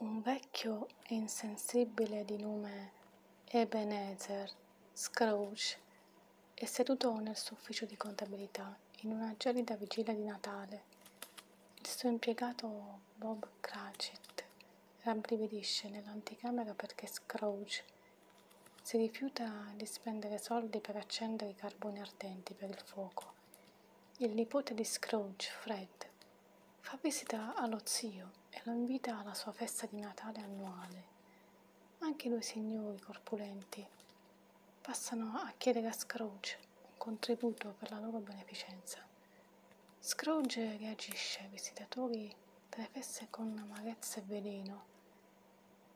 Un vecchio e insensibile di nome Ebenezer Scrooge è seduto nel suo ufficio di contabilità in una gelida vigilia di Natale. Il suo impiegato Bob Cratchit rabbrividisce nell'anticamera perché Scrooge si rifiuta di spendere soldi per accendere i carboni ardenti per il fuoco il nipote di Scrooge, Fred, fa visita allo zio e lo invita alla sua festa di Natale annuale. Anche due signori corpulenti passano a chiedere a Scrooge un contributo per la loro beneficenza. Scrooge reagisce ai visitatori delle feste con amarezza e veleno,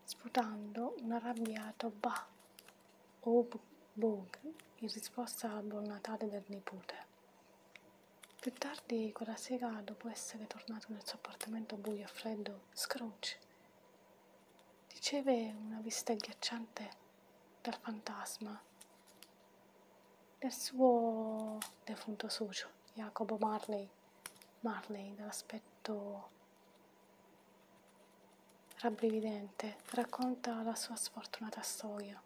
sputando un arrabbiato bah o Bug in risposta al buon Natale del nipote. Più tardi quella sera, dopo essere tornato nel suo appartamento buio e freddo, Scrooge riceve una vista agghiacciante dal fantasma del suo defunto socio, Jacopo Marley, Marley dall'aspetto Rabbrividente, racconta la sua sfortunata storia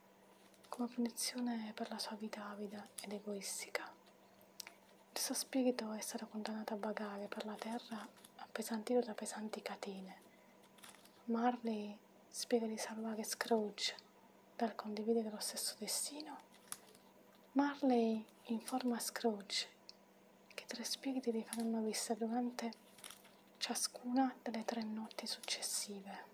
come punizione per la sua vita avida ed egoistica. Il suo spirito è stato condannato a vagare per la terra appesantito da pesanti catene. Marley spiega di salvare Scrooge dal condividere lo stesso destino. Marley informa Scrooge che tre spiriti gli faranno vista durante ciascuna delle tre notti successive.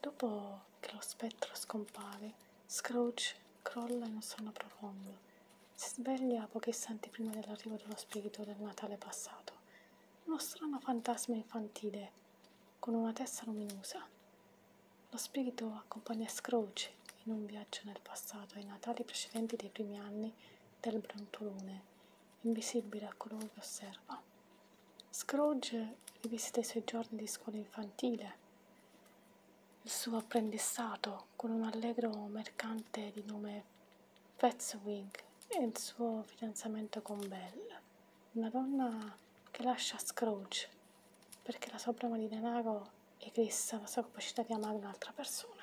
Dopo che lo spettro scompare, Scrooge crolla in un sonno profondo. Si sveglia pochi istanti prima dell'arrivo dello spirito del Natale passato, uno strano fantasma infantile con una testa luminosa. Lo spirito accompagna Scrooge in un viaggio nel passato ai Natali precedenti dei primi anni del brontolone, invisibile a colui che osserva. Scrooge rivisita i suoi giorni di scuola infantile, il suo apprendistato con un allegro mercante di nome Fetzwig e il suo fidanzamento con Belle, una donna che lascia Scrooge perché la sua broma di denaro eclissa la sua capacità di amare un'altra persona.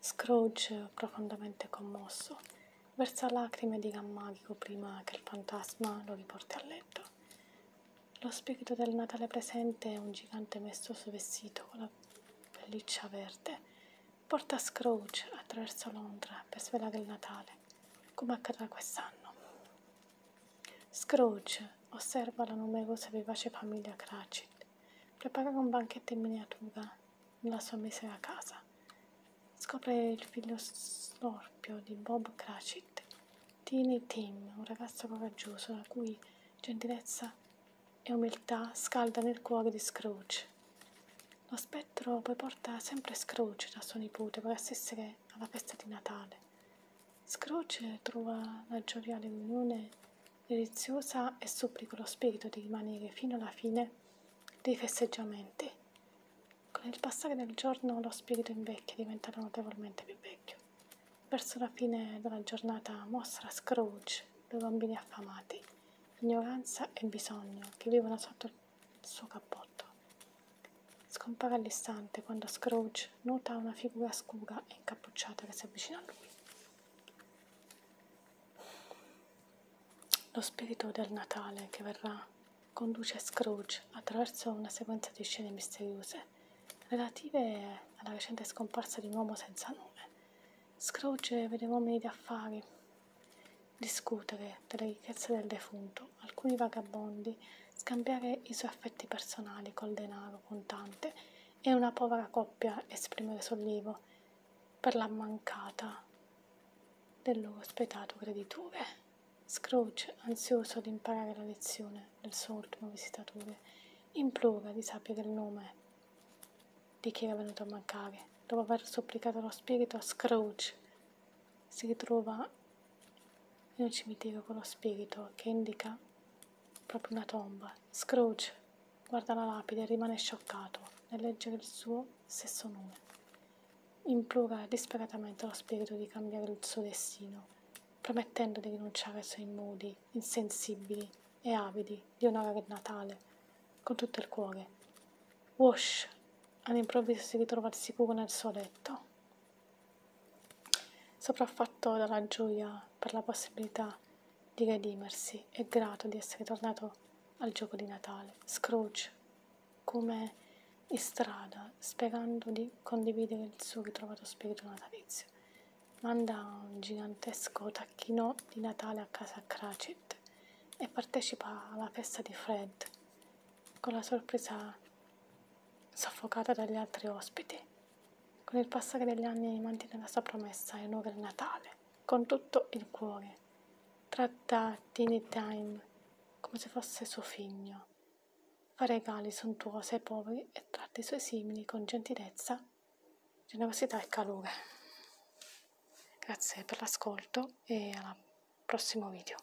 Scrooge, profondamente commosso, versa lacrime di gran magico prima che il fantasma lo riporti a letto. Lo spirito del Natale presente è un gigante messo su vestito con la pelliccia verde. Porta Scrooge attraverso Londra per svelare il Natale, come accadrà quest'anno. Scrooge osserva la numerosa e vivace famiglia Cratchit preparare un banchetto in miniatura nella sua misera casa. Scopre il figlio snorpio di Bob Cratchit, Tiny Tim, un ragazzo coraggioso la cui gentilezza e umiltà scaldano il cuore di Scrooge. Lo spettro poi porta sempre Scrooge da suo nipote per assistere alla festa di Natale. Scrooge trova la gioia dell'unione deliziosa e supplico lo spirito di rimanere fino alla fine dei festeggiamenti. Con il passare del giorno lo spirito invecchia, diventando notevolmente più vecchio. Verso la fine della giornata mostra Scrooge due bambini affamati, ignoranza e bisogno, che vivono sotto il suo cappotto. Scompare all'istante quando Scrooge luce, cioè, nota una figura scura e incappucciata che si avvicina a lui. Lo spirito del Natale che verrà conduce Scrooge attraverso una sequenza di scene misteriose relative alla recente scomparsa di un uomo senza nome. Scrooge vede uomini di affari discutere delle ricchezze del defunto, alcuni vagabondi, scambiare i suoi affetti personali col denaro contante e una povera coppia esprimere sollievo per la mancata del loro spietato creditore. Scrooge, ansioso di imparare la lezione del suo ultimo visitatore, implora di sapere il nome di chi era venuto a mancare. Dopo aver supplicato lo spirito, Scrooge si ritrova in un cimitero con lo spirito che indica proprio una tomba. Scrooge guarda la lapide e rimane scioccato nel leggere il suo stesso nome. Implora disperatamente lo spirito di cambiare il suo destino, promettendo di rinunciare ai suoi modi insensibili e avidi di onorare il Natale con tutto il cuore. Wash all'improvviso si ritrova al sicuro nel suo letto Sopraffatto dalla gioia per la possibilità di redimersi e grato di essere tornato al gioco di Natale, Scrooge, come in strada, sperando di condividere il suo ritrovato spirito natalizio, manda un gigantesco tacchino di Natale a casa Cratchit e partecipa alla festa di Fred, con la sorpresa soffocata dagli altri ospiti. Con il passare degli anni mantiene la sua promessa e onora il Natale con tutto il cuore. Tratta Teeny Time come se fosse suo figlio. Fa regali sontuosi ai poveri e tratta i suoi simili con gentilezza, generosità e calore. Grazie per l'ascolto e al prossimo video.